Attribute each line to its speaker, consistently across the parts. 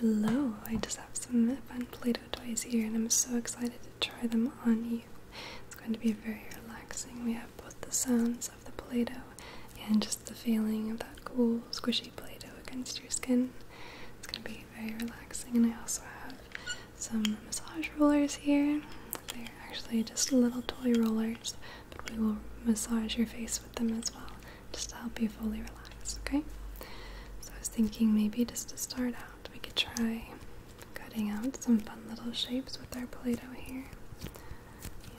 Speaker 1: Hello, I just have some fun Play-Doh toys here and I'm so excited to try them on you. It's going to be very relaxing. We have both the sounds of the Play-Doh and just the feeling of that cool squishy Play-Doh against your skin. It's going to be very relaxing and I also have some massage rollers here. They're actually just little toy rollers, but we will massage your face with them as well just to help you fully relax, okay? So I was thinking maybe just to start out, we could try cutting out some fun little shapes with our Play Doh here.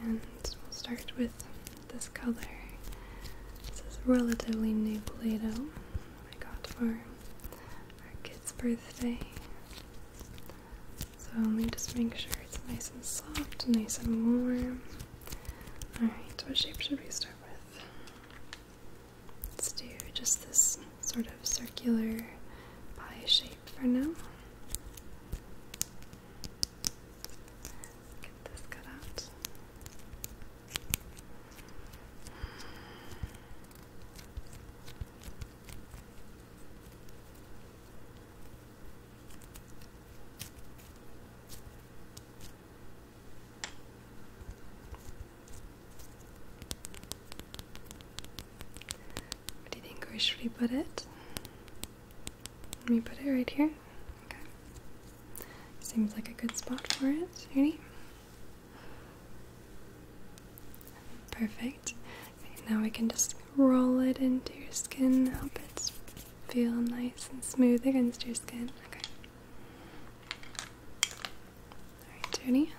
Speaker 1: And we'll start with this color. This is relatively new Play Doh I got for our kid's birthday. So let me just make sure it's nice and soft, nice and warm. Alright, what shape should we start with? Let's do just this sort of circular pie shape for now. Get this cut out. What do you think where put it? Let me put it right here. Okay. Seems like a good spot for it. Ready? Perfect. now we can just roll it into your skin. Help it feel nice and smooth against your skin. Okay. Alright, Tony.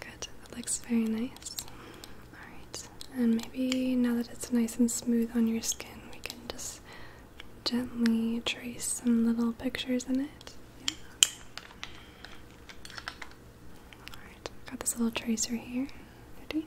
Speaker 1: Good, that looks very nice. Alright, and maybe now that it's nice and smooth on your skin, we can just gently trace some little pictures in it. Alright, got this little tracer here. Ready?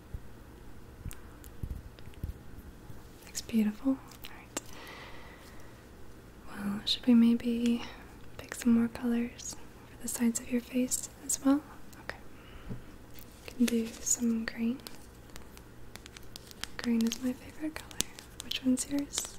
Speaker 1: Looks beautiful. Alright. Well, should we maybe pick some more colors for the sides of your face as well? Okay. can do some green. Green is my favorite color. Which one's yours?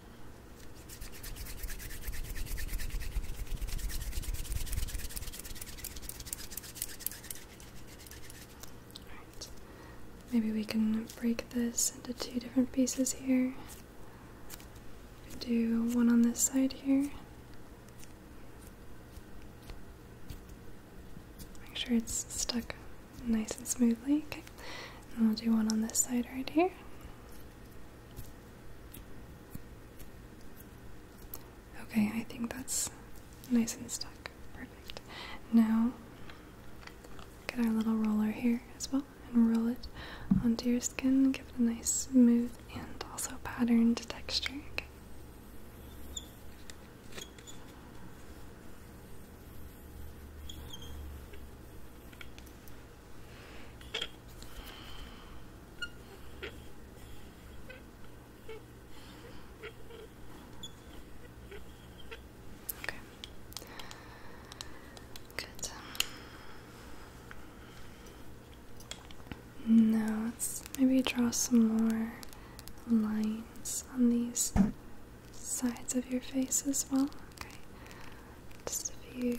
Speaker 1: maybe we can break this into two different pieces here. Do one on this side here. Make sure it's stuck nice and smoothly. Okay, and we'll do one on this side right here. Okay, I think that's nice and stuck. Perfect. Now, get our little roller here as well and roll it onto your skin. Give it a nice smooth and also patterned texture. Okay. Okay. Good. Now let's maybe draw some more lines on these sides of your face as well. Okay. Just a few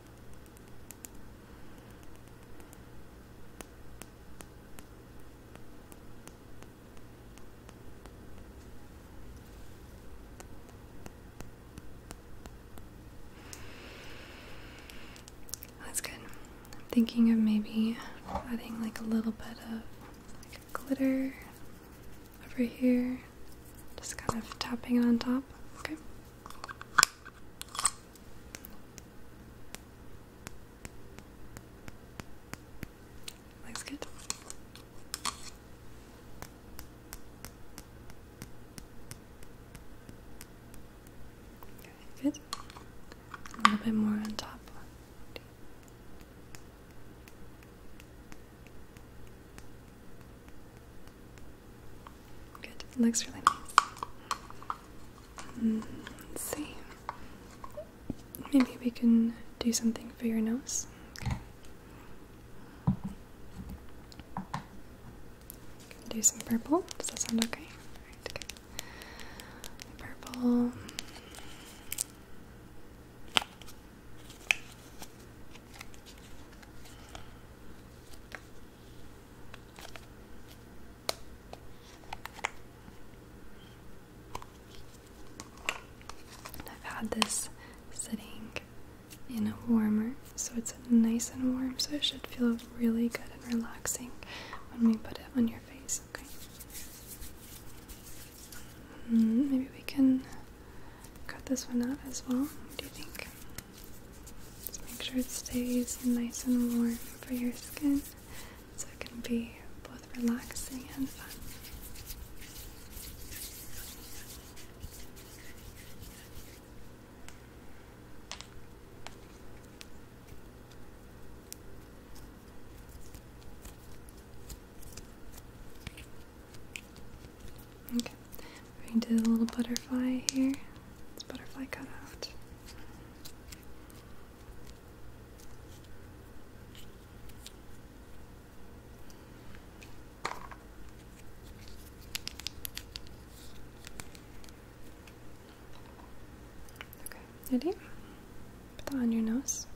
Speaker 1: That's good. I'm thinking of maybe adding like a little bit of like glitter over here, just kind of tapping it on top. Okay. Looks good. Okay, good. A little bit more on top. Good. looks really nice. Mm, let's see. Maybe we can do something for your nose. do some purple. Does that sound okay? Alright, good. Purple. I've had this sitting in a warmer, so it's nice and warm, so it should feel really good and relaxing when we put it on your face, okay? Mm, maybe we can cut this one out as well. do you think? Just make sure it stays nice and warm for your skin so it can be both relaxing and fun. Okay, we're going to do the little butterfly here. It's butterfly cut out. Okay, ready? Put that on your nose.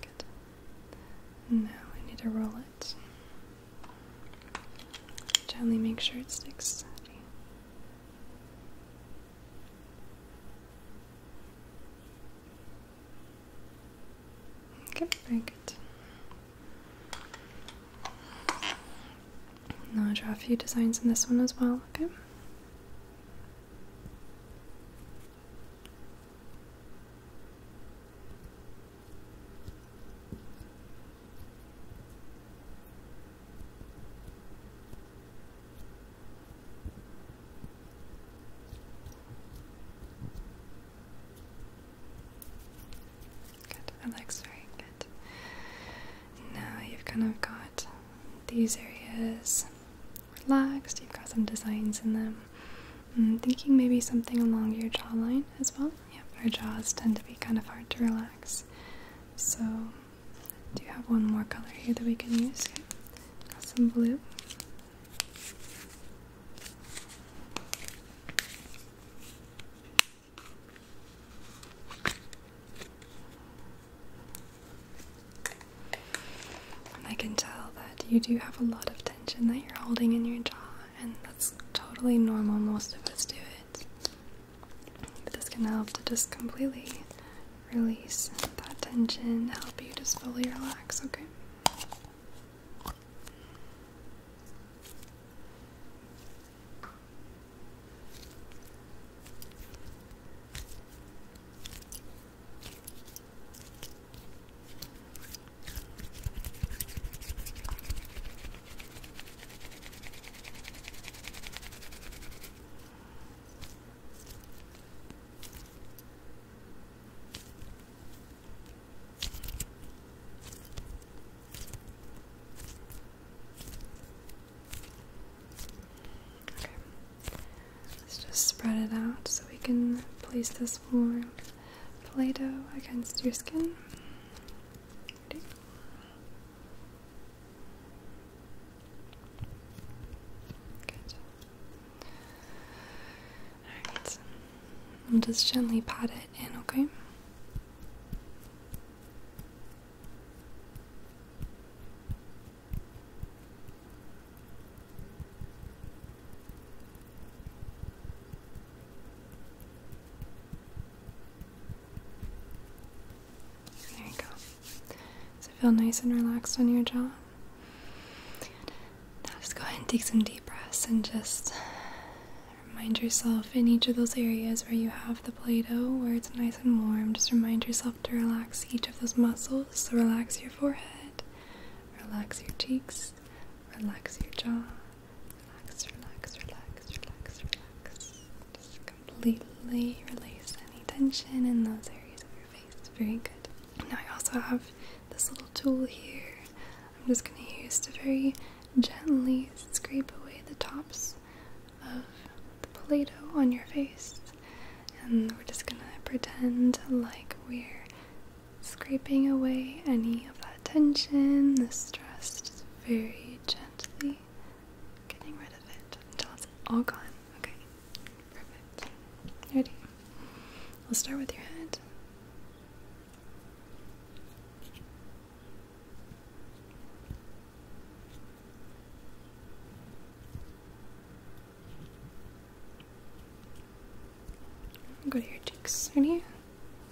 Speaker 1: Good. Now I need to roll it. Gently make sure it sticks. Okay, very good. Now I'll draw a few designs in this one as well, okay? Good, that very good. Now you've kind of got these areas relaxed, you've got some designs in them. I'm mm, thinking maybe something along your jawline as well. Yep, our jaws tend to be kind of hard to relax. So, do you have one more color here that we can use? Got some blue. I can tell that you do have a lot of tension that you're holding in your jaw and that's totally normal, most of us do it. But this can help to just completely release that tension, help you just fully relax, okay? Let's just spread it out so we can place this more Play Doh against your skin. Good. Alright. I'll just gently pat it in, okay? There you go. Does it feel nice and relaxed on your jaw? Now just go ahead and take some deep breaths and just remind yourself in each of those areas where you have the Play Doh, where it's nice and warm, just remind yourself to relax each of those muscles. So relax your forehead, relax your cheeks, relax your jaw. Relax, relax, relax, relax, relax. Just completely release any tension in those areas of your face. Very good. Now I also have this little tool here. I'm just going to use to very gently scrape away the tops of the Play-Doh on your face. And we're just gonna pretend like we're scraping away any of that tension, the stress, just very gently getting rid of it until it's all gone. Okay, perfect. Ready? We'll start with your head. Go to your cheeks, ready?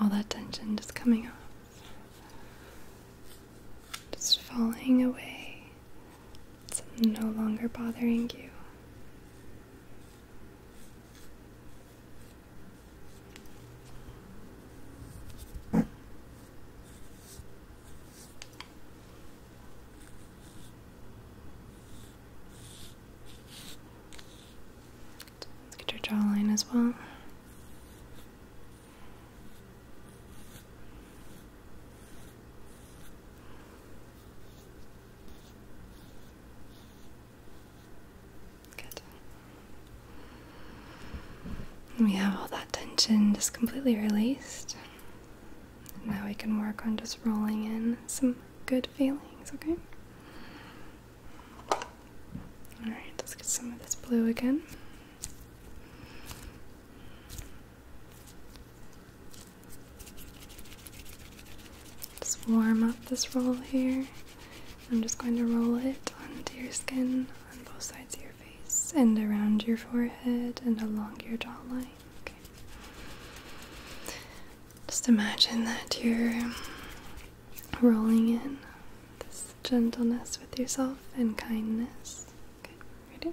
Speaker 1: all that tension just coming off, just falling away. It's no longer bothering you. Let's get your jawline as well. Good. We have all that tension just completely released. Now we can work on just rolling in some good feelings, okay? Alright, let's get some of this blue again. Just warm up this roll here. I'm just going to roll it onto your skin on both sides of your face and around your forehead and along your jawline. Just imagine that you're rolling in this gentleness with yourself and kindness. ready?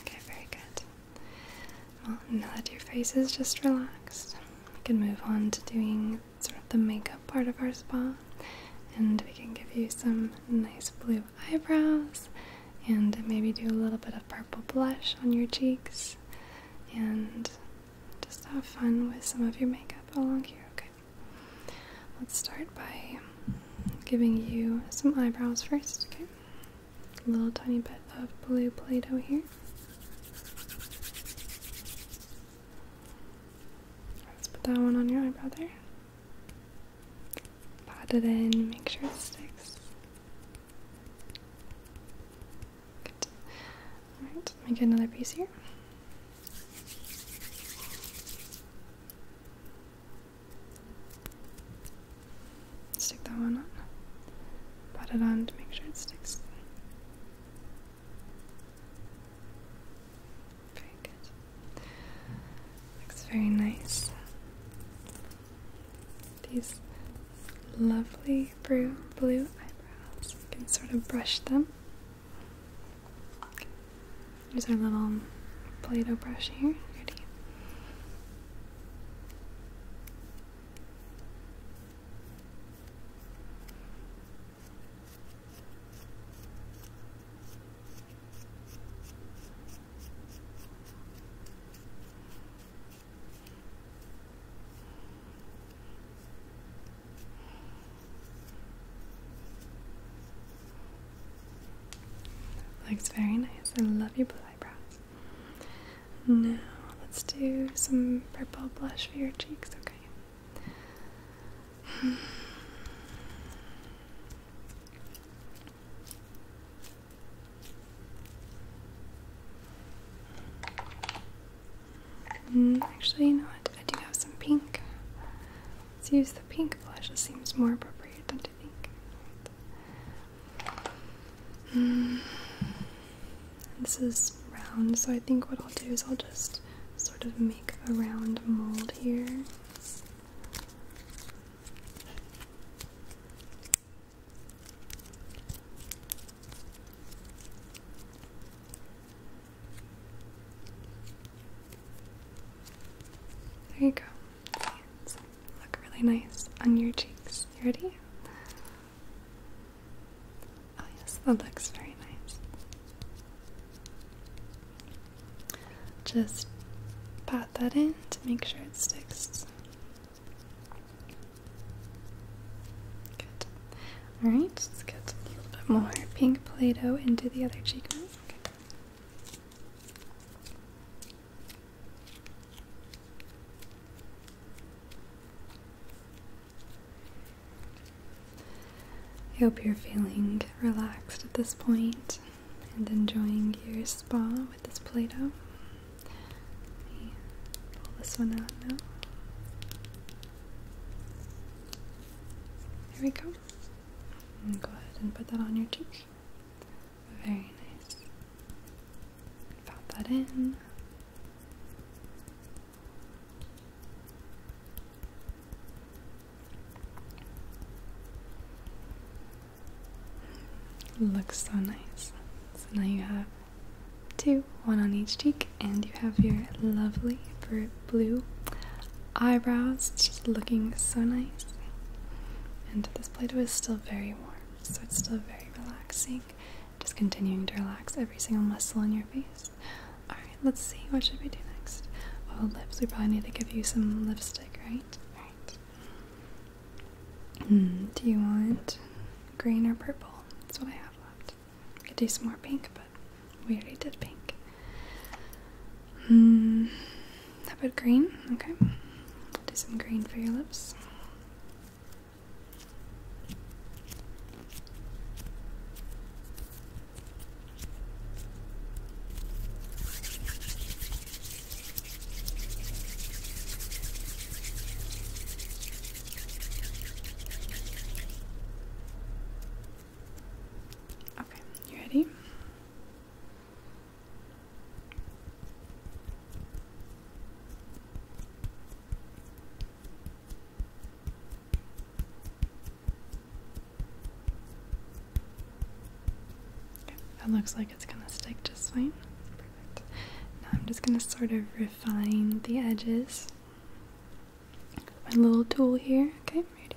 Speaker 1: Okay, very good. Well, now that your face is just relaxed, we can move on to doing sort of the makeup part of our spa. And we can give you some nice blue eyebrows, and maybe do a little bit of purple blush on your cheeks, and just have fun with some of your makeup along here, okay? Let's start by giving you some eyebrows first, okay? A little tiny bit of blue Play Doh here. Let's put that one on your eyebrow there. Pat it in, make sure it sticks. Good. Alright, let me get another piece here. Stick that one on. Pat it on to make sure it sticks. Very good. Looks very nice. These lovely blue eyebrows. You can sort of brush them. Here's our little Play Doh brush here. Ready? Looks very nice. I love your blue eyebrows. Now let's do some purple blush for your cheeks, okay? Hmm. actually, you know what? I do have some pink. Let's use the pink blush. It seems more appropriate, don't you think? Mm. This is round, so I think what I'll do is I'll just sort of make a round mold here. There you go. look really nice on your cheeks. You ready? Oh yes, that looks very nice. Just pat that in to make sure it sticks. Good. Alright, let's get a little bit more pink Play-Doh into the other cheekbone. I hope you're feeling relaxed at this point and enjoying your spa with this Play Doh. Let me pull this one out now. There we go go ahead and put that on your cheek. Very nice. Pop that in. Looks so nice. So now you have two, one on each cheek, and you have your lovely fruit blue eyebrows. It's just looking so nice. And this Play-Doh is still very warm, so it's still very relaxing. Just continuing to relax every single muscle in your face. Alright, let's see. What should we do next? Oh, lips. We probably need to give you some lipstick, right? Alright. Hmm, do you want green or purple? That's what I have left. We could do some more pink, but we already pink. Hmm, how about green? Okay. Do some green for your lips. Okay, you ready? That looks like it's gonna stick just fine. Now I'm just gonna sort of refine the edges. My little tool here. Okay, ready.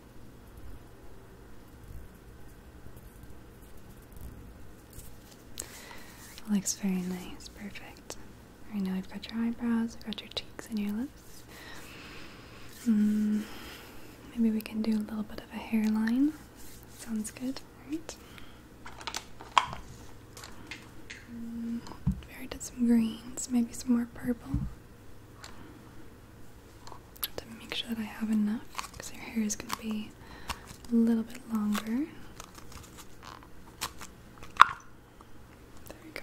Speaker 1: Looks very nice, perfect. Right now we have got your eyebrows, I've got your cheeks and your lips. Mm, maybe we can do a little bit of a hairline. Sounds good, right? Mm, very did some greens, maybe some more purple. I have to make sure that I have enough because your hair is going to be a little bit longer. There we go.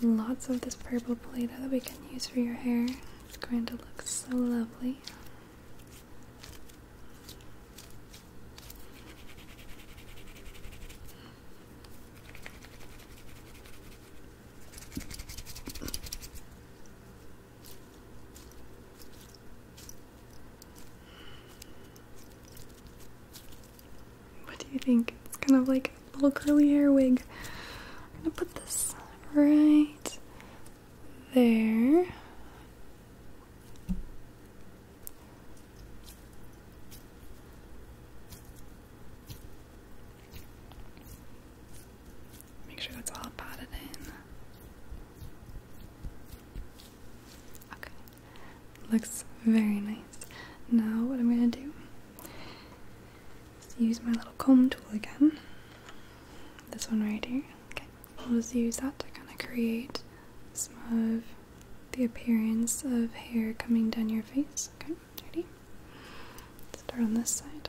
Speaker 1: Lots of this purple play doh that we can use for your hair. It's going to look so lovely. What do you think? It's kind of like a little curly hair wig. I'm gonna put this right there. Make sure that's all potted in. Okay, looks very nice. Now, what I'm going to do use my little comb tool again. This one right here. Okay, I'll just use that to kind of create some of the appearance of hair coming down your face. Okay. Ready? Start on this side.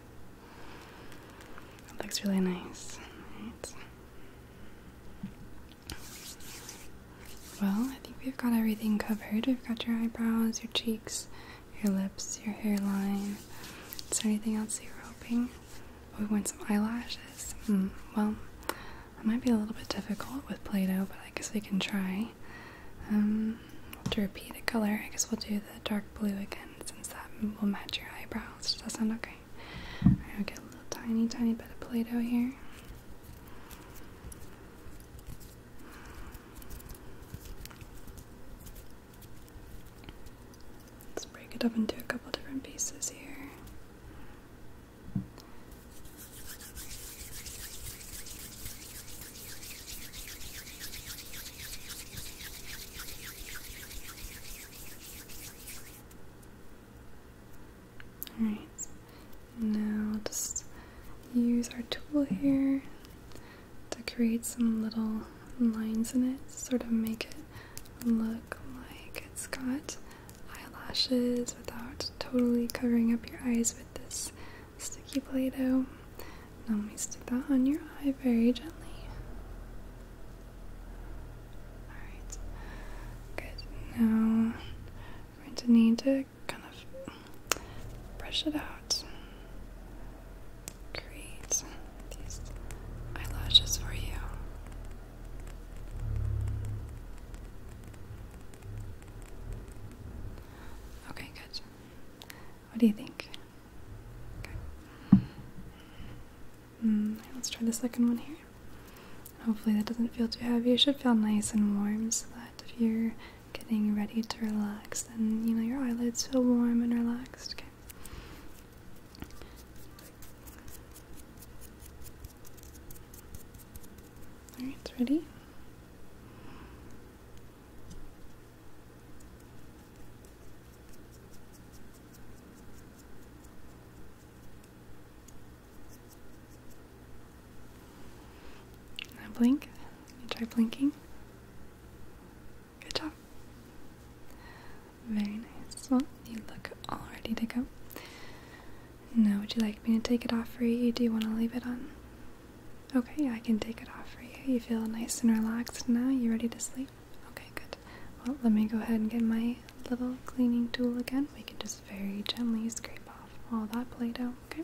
Speaker 1: It looks really nice. Right. Well, I think we've got everything covered. We've got your eyebrows, your cheeks, your lips, your hairline. Is there anything else you were hoping? Oh, we want some eyelashes. Hmm, well, that might be a little bit difficult with Play-Doh, but I guess we can try. Um, to repeat a color, I guess we'll do the dark blue again since that will match your eyebrows. Does that sound okay? i will get a little tiny, tiny bit of Play Doh here. Let's break it up into a couple different pieces here. Alright, now just use our tool here to create some little lines in it, sort of make it look like it's got eyelashes without totally covering up your eyes with this sticky play doh. Now let me stick that on your eye very gently. Alright. Good. Now we're going to need to kind of brush it out. Create these eyelashes for you. Okay, good. What do you think? Mm, let's try the second one here. Hopefully, that doesn't feel too heavy. It should feel nice and warm so that if you're getting ready to relax, then you know your eyelids feel warm and relaxed. Alright, it's ready? Now blink. You try blinking. Good job. Very nice. Well, you look all ready to go. Now, would you like me to take it off for you? Do you want to leave it on? Okay, I can take it off for you. You feel nice and relaxed now. You ready to sleep? Okay, good. Well, let me go ahead and get my little cleaning tool again. We can just very gently scrape off all that Play Doh, okay?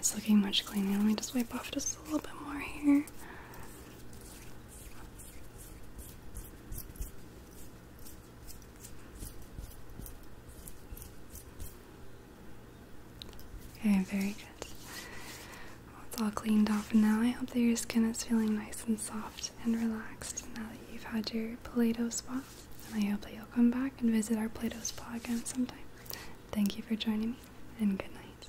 Speaker 1: It's looking much cleaner. Let me just wipe off just a little bit more here. Okay, very good. it's all cleaned off now. I hope that your skin is feeling nice and soft and relaxed now that you've had your Play-Doh spa. And I hope that you'll come back and visit our Play-Doh spa again sometime. Thank you for joining me, and good night.